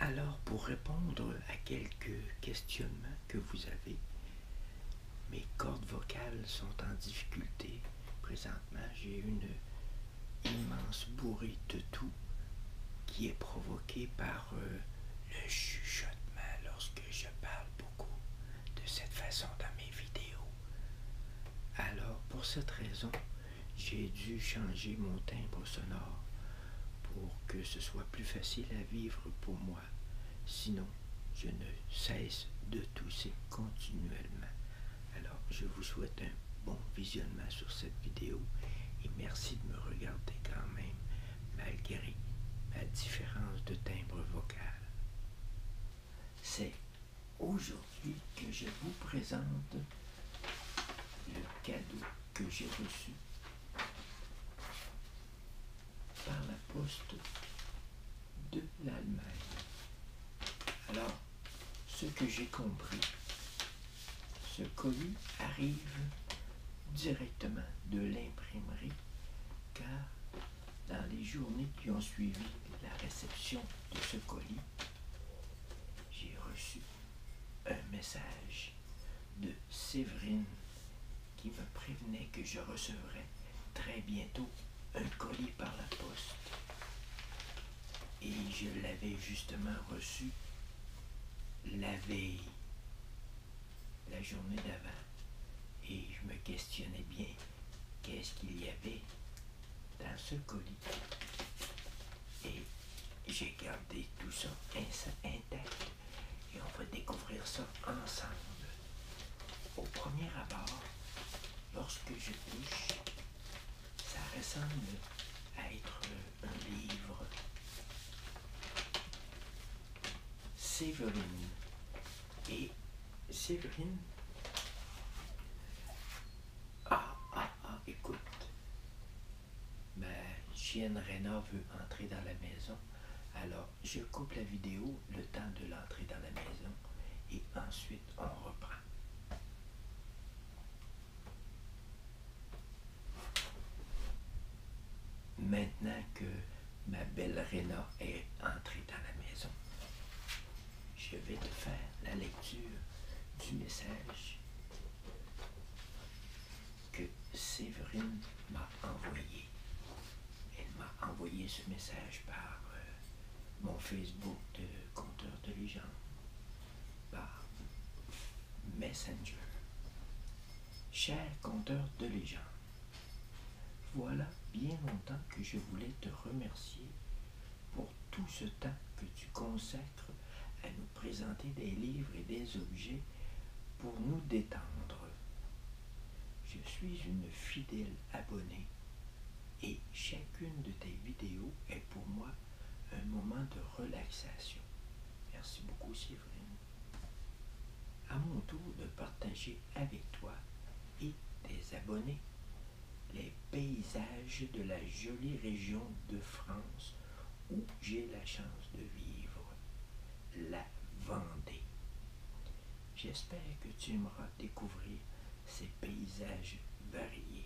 Alors, pour répondre à quelques questionnements que vous avez, mes cordes vocales sont en difficulté présentement. J'ai une immense bourrée de tout qui est provoquée par euh, le chuchotement lorsque je parle beaucoup de cette façon dans mes vidéos. Alors, pour cette raison, j'ai dû changer mon timbre sonore pour que ce soit plus facile à vivre pour moi. Sinon, je ne cesse de tousser continuellement. Alors, je vous souhaite un bon visionnement sur cette vidéo et merci de me regarder quand même, malgré la différence de timbre vocal. C'est aujourd'hui que je vous présente le cadeau que j'ai reçu par la poste de l'Allemagne. Alors, ce que j'ai compris, ce colis arrive directement de l'imprimerie car dans les journées qui ont suivi la réception de ce colis, j'ai reçu un message de Séverine qui me prévenait que je recevrais très bientôt un colis par la poste. Et je l'avais justement reçu la veille, la journée d'avant. Et je me questionnais bien qu'est-ce qu'il y avait dans ce colis. Et j'ai gardé tout ça intact. Et on va découvrir ça ensemble. Au premier abord, lorsque je touche, ça ressemble à être un livre. Séverine. Et Séverine Ah. Ah, écoute, ma ben, chienne Rena veut entrer dans la maison. Alors, je coupe la vidéo le temps de l'entrée dans la maison et ensuite on reprend. Maintenant que ma belle Rena est entrée dans la maison, je vais te faire la lecture du message que Séverine m'a envoyé. Elle m'a envoyé ce message par euh, mon Facebook de compteur de Légendes, par Messenger. Cher compteur de légende, voilà bien longtemps que je voulais te remercier pour tout ce temps que tu consacres à nous présenter des livres et des objets pour nous détendre. Je suis une fidèle abonnée et chacune de tes vidéos est pour moi un moment de relaxation. Merci beaucoup Séverine. À mon tour de partager avec toi et tes abonnés les paysages de la jolie région de France où j'ai la chance de vivre, la Vendée. J'espère que tu aimeras découvrir ces paysages variés.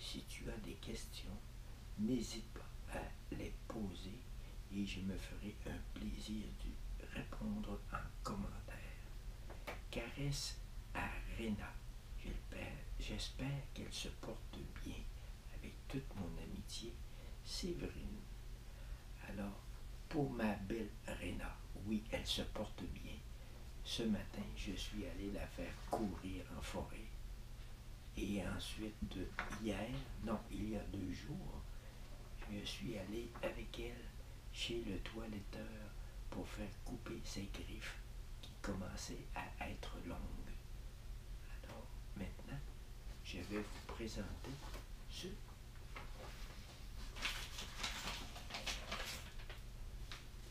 Si tu as des questions, n'hésite pas à les poser et je me ferai un plaisir de répondre en commentaire. Caresse Arena. J'espère qu'elle se porte bien avec toute mon amitié, Séverine. Alors, pour ma belle Réna, oui, elle se porte bien. Ce matin, je suis allé la faire courir en forêt. Et ensuite, hier, non, il y a deux jours, je suis allé avec elle chez le toiletteur pour faire couper ses griffes commencer à être longue. Alors maintenant, je vais vous présenter ce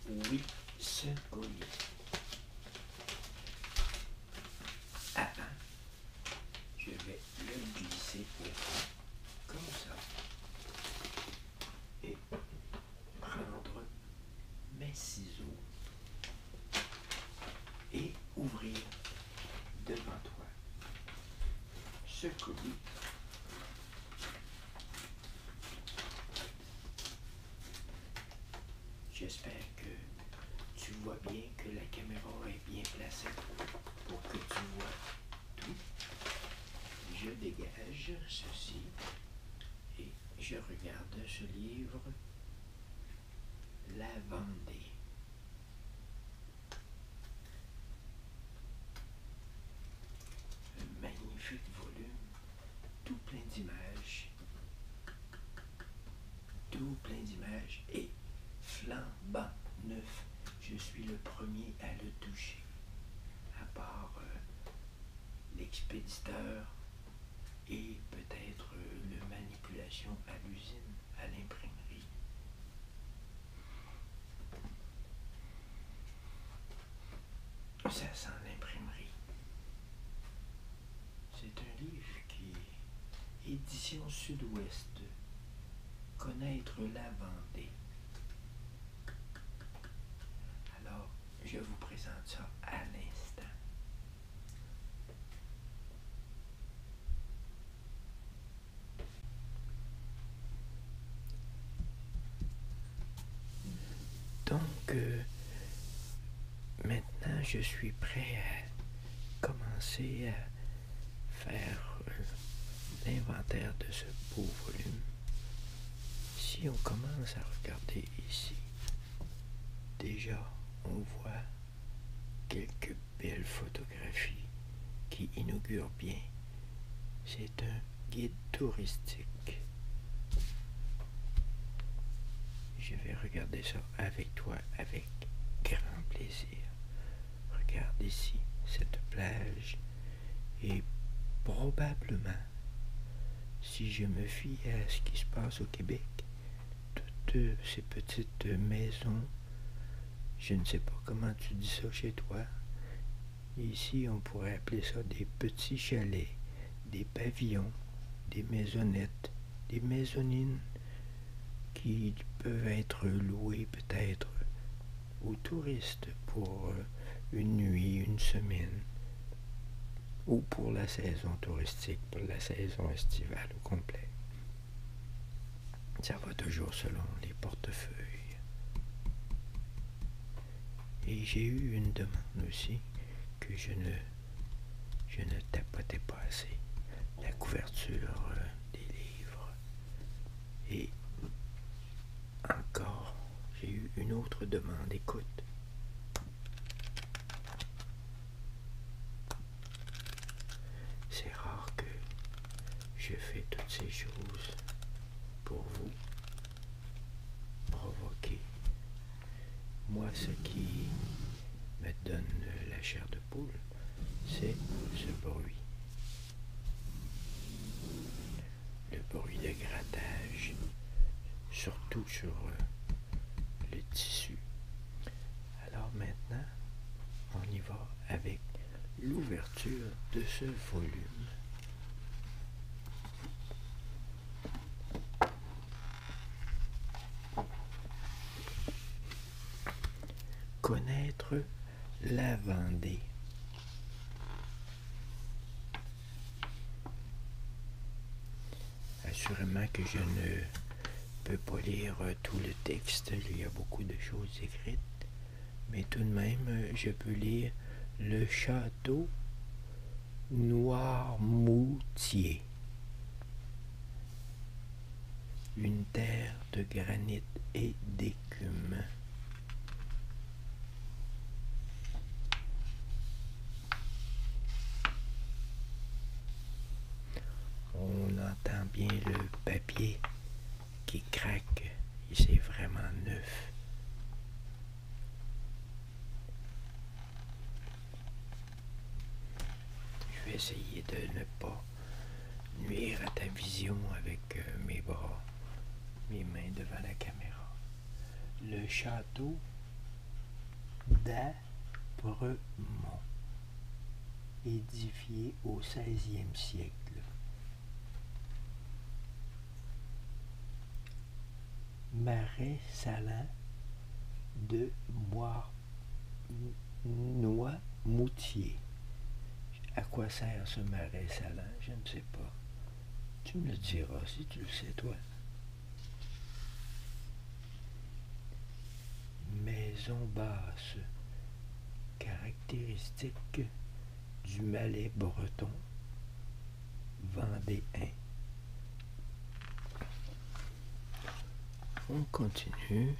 oui, ce collier. Avant, ah, ah. je vais le glisser comme ça et prendre mes ciseaux et ouvrir devant toi ce colis J'espère que tu vois bien que la caméra est bien placée pour que tu vois tout. Je dégage ceci et je regarde ce livre, La Vendée. Un magnifique volume, tout plein d'images, tout plein d'images et flambant neuf. Je suis le premier à le toucher, à part euh, l'expéditeur et peut-être le manipulation à l'usine, à l'imprimerie. Ça sent l'imprimerie. C'est un livre qui est édition sud-ouest. Connaître la Vendée. Alors, je vous présente ça à l'instant. Donc, euh, maintenant, je suis prêt à commencer à faire euh, l'inventaire de ce beau volume. Si on commence à regarder ici, déjà on voit quelques belles photographies qui inaugurent bien. C'est un guide touristique. Je vais regarder ça avec toi avec grand plaisir. Regarde ici cette plage et probablement si je me fie à ce qui se passe au Québec, toutes ces petites maisons, je ne sais pas comment tu dis ça chez toi, ici on pourrait appeler ça des petits chalets, des pavillons, des maisonnettes, des maisonines qui peuvent être louées peut-être aux touristes pour euh, une nuit, une semaine ou pour la saison touristique, pour la saison estivale au complet. Ça va toujours selon les portefeuilles. Et j'ai eu une demande aussi que je ne, je ne tapotais pas assez. La couverture euh, des livres et encore j'ai eu une autre demande. Écoute. C'est rare que je fais toutes ces choses pour vous provoquer. Moi, ce qui me donne la chair de poule, c'est ce bruit le bruit de grattage, surtout sur euh, le tissu. Alors maintenant, on y va avec l'ouverture de ce volume. Connaître la Vendée. Assurément que je ne peux pas lire euh, tout le texte, il y a beaucoup de choses écrites, mais tout de même, euh, je peux lire le château Noirmoutier. Une terre de granit et d'écume. On entend bien le papier qui craque c'est vraiment neuf. Je vais essayer de ne pas nuire à ta vision avec euh, mes bras, mes mains devant la caméra. Le château d'Abremont, édifié au XVIe siècle. Marais salin de Noix-Moutier. À quoi sert ce marais salin Je ne sais pas. Tu me le diras si tu le sais, toi. Maison basse, caractéristique du Malais breton 1. On continue.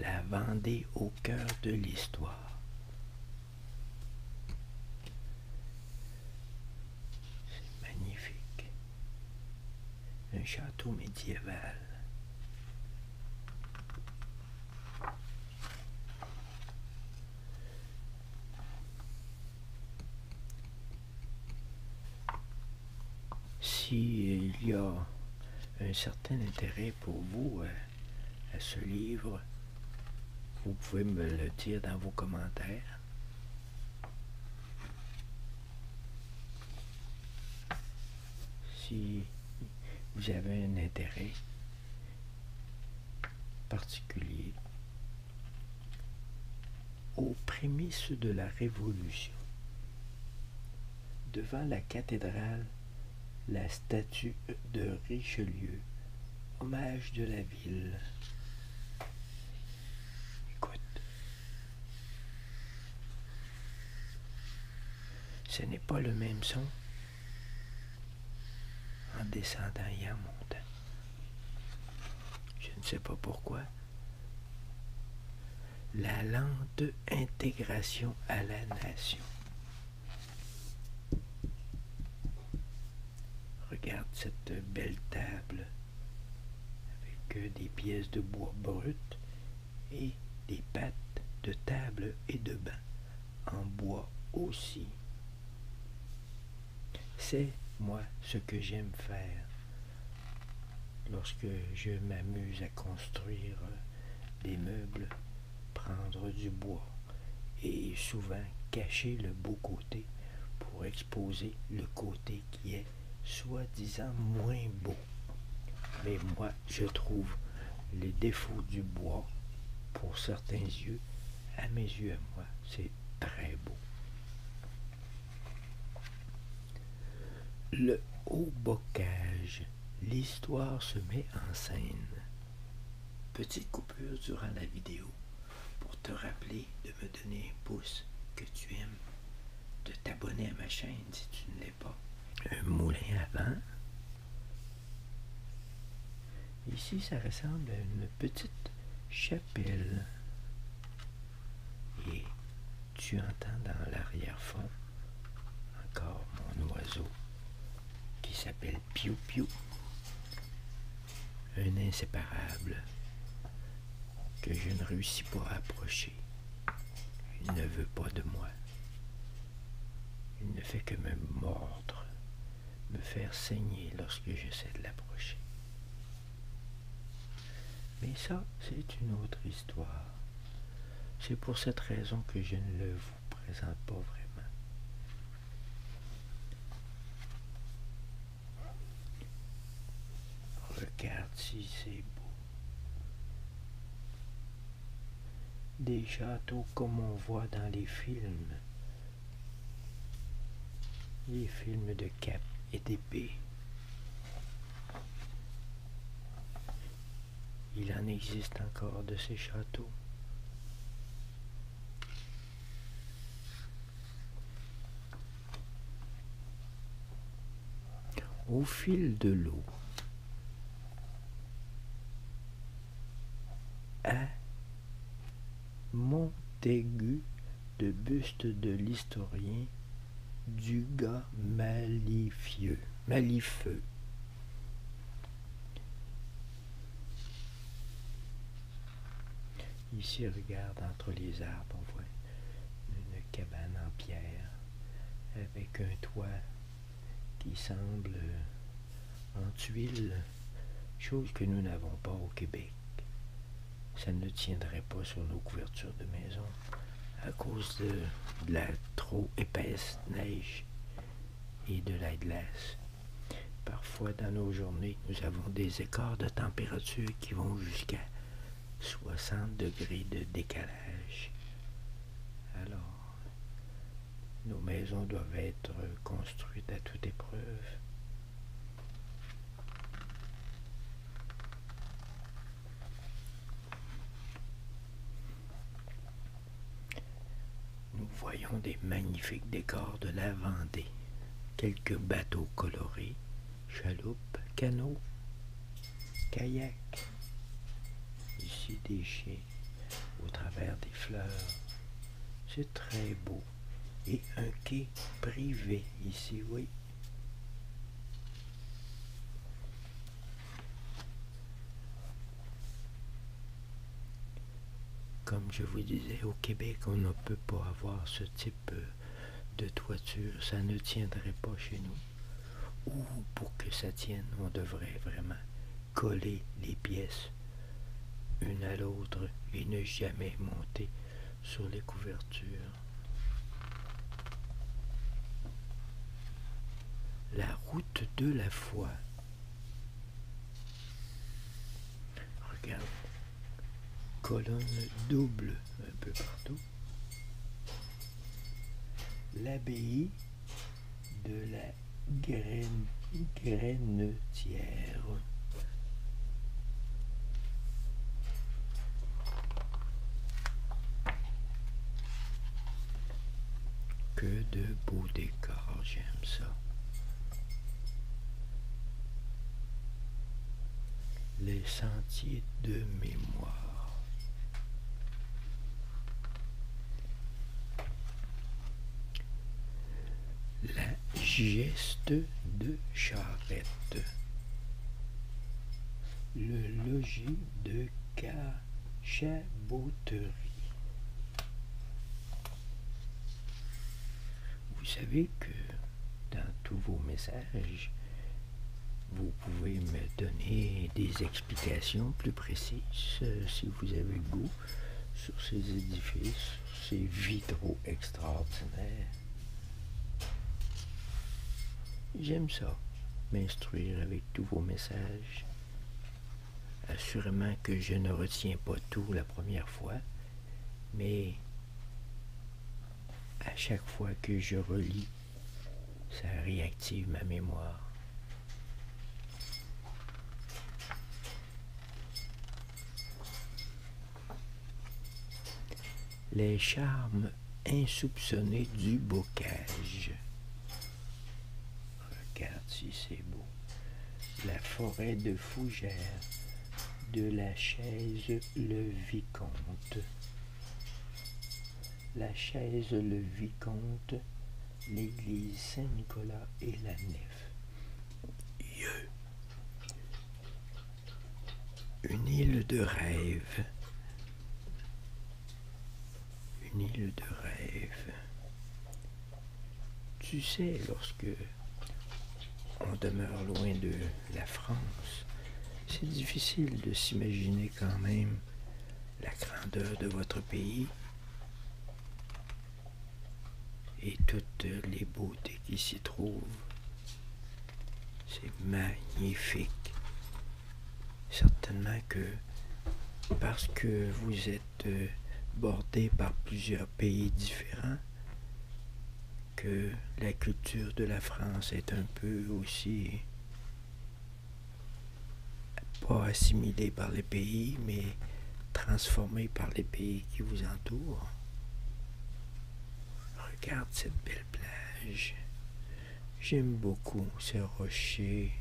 La Vendée au cœur de l'histoire. C'est magnifique. Un château médiéval. S'il y a un certain intérêt pour vous euh, à ce livre, vous pouvez me le dire dans vos commentaires. Si vous avez un intérêt particulier aux prémices de la Révolution, devant la cathédrale, la statue de Richelieu, hommage de la vie, Écoute, ce n'est pas le même son en descendant et en montant. Je ne sais pas pourquoi. La lente intégration à la nation. Regarde cette belle table avec euh, des pièces de bois brut et des pattes de table et de bain en bois aussi. C'est moi ce que j'aime faire lorsque je m'amuse à construire des meubles, prendre du bois et souvent, cacher le beau côté pour exposer le côté qui est soi-disant moins beau. Mais moi, je trouve les défauts du bois, pour certains yeux, à mes yeux, à moi, c'est très beau. Le haut bocage, l'histoire se met en scène. Petite coupure durant la vidéo pour te rappeler de me donner un pouce que tu aimes, de t'abonner à ma chaîne si tu ne l'es pas. Un moulin à vent. Ici, ça ressemble à une petite chapelle. Et tu entends dans l'arrière-fond encore mon oiseau qui s'appelle Piu Piu un inséparable que je ne réussis pas à approcher. Il ne veut pas de moi. Il ne fait que me mordre, me faire saigner lorsque j'essaie de l'approcher. Mais ça, c'est une autre histoire. C'est pour cette raison que je ne le vous présente pas vraiment. Regarde si c'est beau. Des châteaux comme on voit dans les films. Les films de cap et d'épée. Il en existe encore de ces châteaux. Au fil de l'eau, un Montaigu de buste de l'historien du gars malifieux, Ici, regarde entre les arbres, on voit une, cabane en pierre avec un toit qui semble en tuile, chose que nous n'avons pas au Québec. Ça ne tiendrait pas sur nos couvertures de maison à cause de la trop épaisse neige et de la glace. Parfois, dans nos journées, nous avons des écarts de température qui vont jusqu'à 60 degrés de décalage. Alors, nos maisons doivent être construites à toute épreuve. Nous voyons des magnifiques décors de la Vendée quelques bateaux colorés, chaloupes, canaux, kayaks. Ici des chiens au travers des fleurs. C'est très beau. Et un quai privé ici, oui. Comme je vous disais, au Québec, on ne peut pas avoir ce type euh, de toiture. Ça ne tiendrait pas chez nous. Ou pour que ça tienne, on devrait vraiment coller les pièces une à l'autre et ne jamais monter sur les couvertures. La route de la foi. Regarde, colonne double un peu partout. L'abbaye de la graine, Grenetière. Que de beaux décors, j'aime ça les sentiers de mémoire. La geste de charrette. Le logis de Cachaboterie. Vous savez que dans tous vos messages, vous pouvez me donner des explications plus précises euh, si vous avez goût sur ces édifices, ces vitraux extraordinaires. J'aime ça, m'instruire avec tous vos messages. Assurément que je ne retiens pas tout la première fois, mais à chaque fois que je relis, ça réactive ma mémoire. Les charmes insoupçonnés du bocage. Regarde si c'est beau la forêt de fougères de la chaise le vicomte. La chaise le vicomte, l'église Saint-Nicolas et la nef. Une île de rêve. Une île de rêve. Tu sais, lorsque on demeure loin de la France, c'est difficile de s'imaginer quand même la grandeur de votre pays et toutes les beautés qui s'y trouvent. C'est magnifique. Certainement que parce que vous êtes euh, bordé par plusieurs pays différents, que la culture de la France est un peu aussi pas assimilée par les pays, mais transformée par les pays qui vous entourent. Regarde cette belle plage. J'aime beaucoup ces rochers.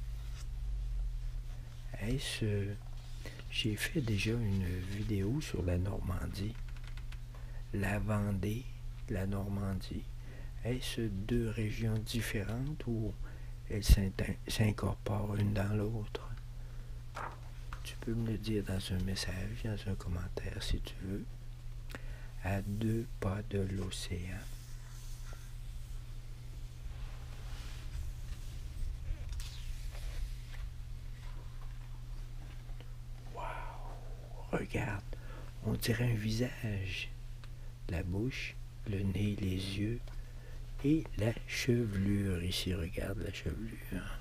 Est-ce j'ai fait déjà une vidéo sur la Normandie, la Vendée, la Normandie. Est-ce deux régions différentes ou elles s'incorporent une dans l'autre? Tu peux me le dire dans un message, dans un commentaire si tu veux. À deux pas de l'océan. Wow! Regarde, on dirait un visage. La bouche, le nez, les yeux et la chevelure. Ici, regarde la chevelure.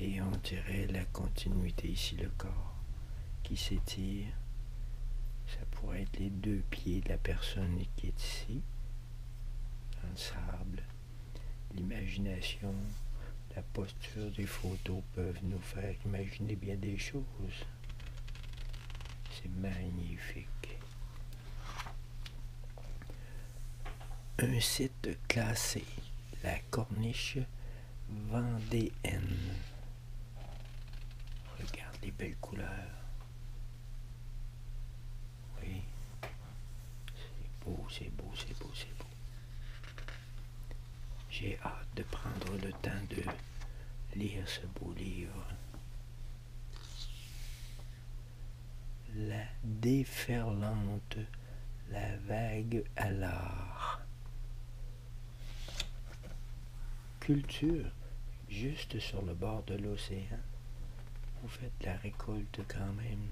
Et on dirait la continuité ici, le corps qui s'étire. Ça pourrait être les deux pieds de la personne qui est ici, un sable. L'imagination, la posture des photos peuvent nous faire imaginer bien des choses. C'est magnifique. Un site classé, la corniche vendéenne. Regarde les belles couleurs. Oui. C'est beau, c'est beau, c'est beau, c'est beau. J'ai hâte de prendre le temps de lire ce beau livre. La déferlante, la vague à l'art. Culture, juste sur le bord de l'océan, vous faites la récolte quand même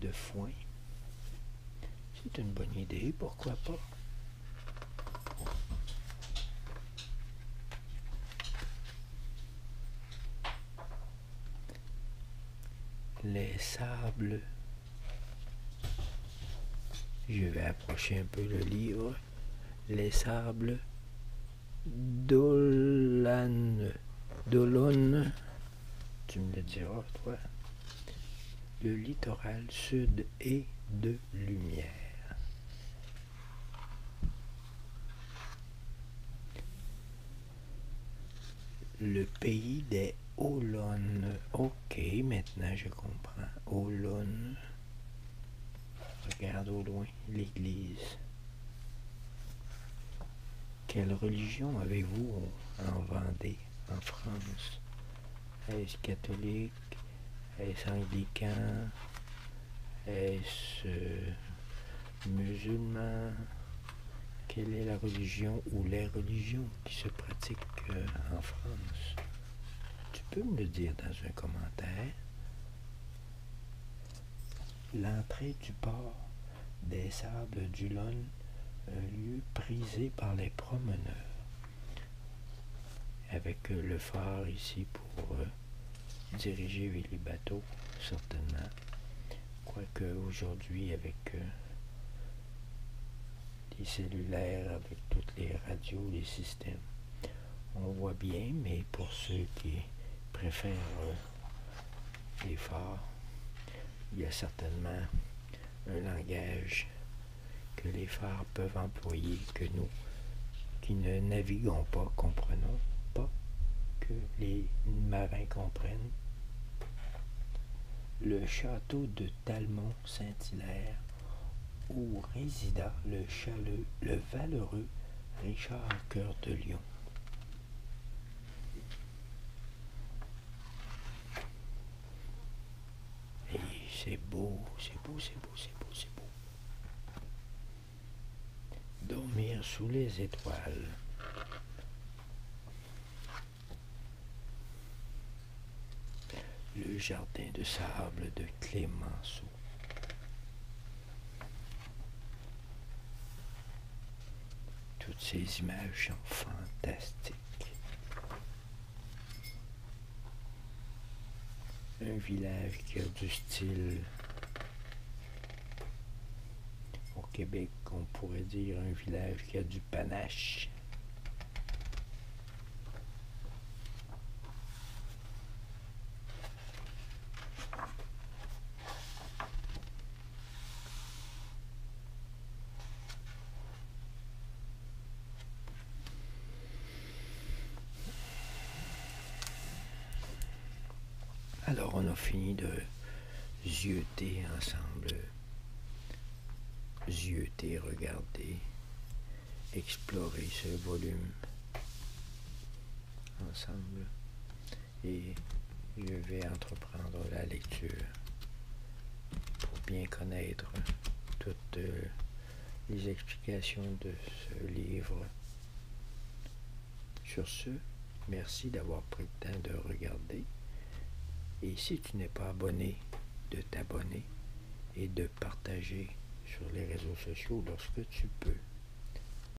de foin. C'est une bonne idée, pourquoi pas? Les sables. Je vais approcher un peu le livre. Les sables Dolan. Dolon. tu me le diras, toi. Le littoral sud est de lumière. Le pays des Olonnes. Ok, maintenant je comprends. Olonnes. Regarde au loin l'Église. Quelle religion avez-vous en Vendée, en France Est-ce catholique Est-ce anglican Est-ce euh, musulman Quelle est la religion ou les religions qui se pratiquent euh, en France Tu peux me le dire dans un commentaire L'entrée du port des sables du un lieu prisé par les promeneurs. Avec le phare ici pour euh, diriger les bateaux, certainement. Quoique aujourd'hui avec euh, les cellulaires, avec toutes les radios, les systèmes, on voit bien, mais pour ceux qui préfèrent euh, les phares, il y a certainement un langage que les phares peuvent employer, que nous qui ne naviguons pas comprenons pas, que les marins comprennent. Le château de Talmont-Saint-Hilaire, où résida le, chaleux, le valeureux Richard Cœur de Lion c'est beau, c'est beau, c'est beau, c'est beau, c'est beau. Dormir sous les étoiles. Le jardin de sable de Clémenceau. Toutes ces images sont fantastiques. Un village qui a du style. Au Québec, on pourrait dire un village qui a du panache. Alors on a fini de zioter ensemble, zioter, regarder, explorer ce volume ensemble et je vais entreprendre la lecture pour bien connaître toutes euh, les explications de ce livre. Sur ce, merci d'avoir pris le temps de regarder et si tu n'es pas abonné, de t'abonner et de partager sur les réseaux sociaux lorsque tu peux.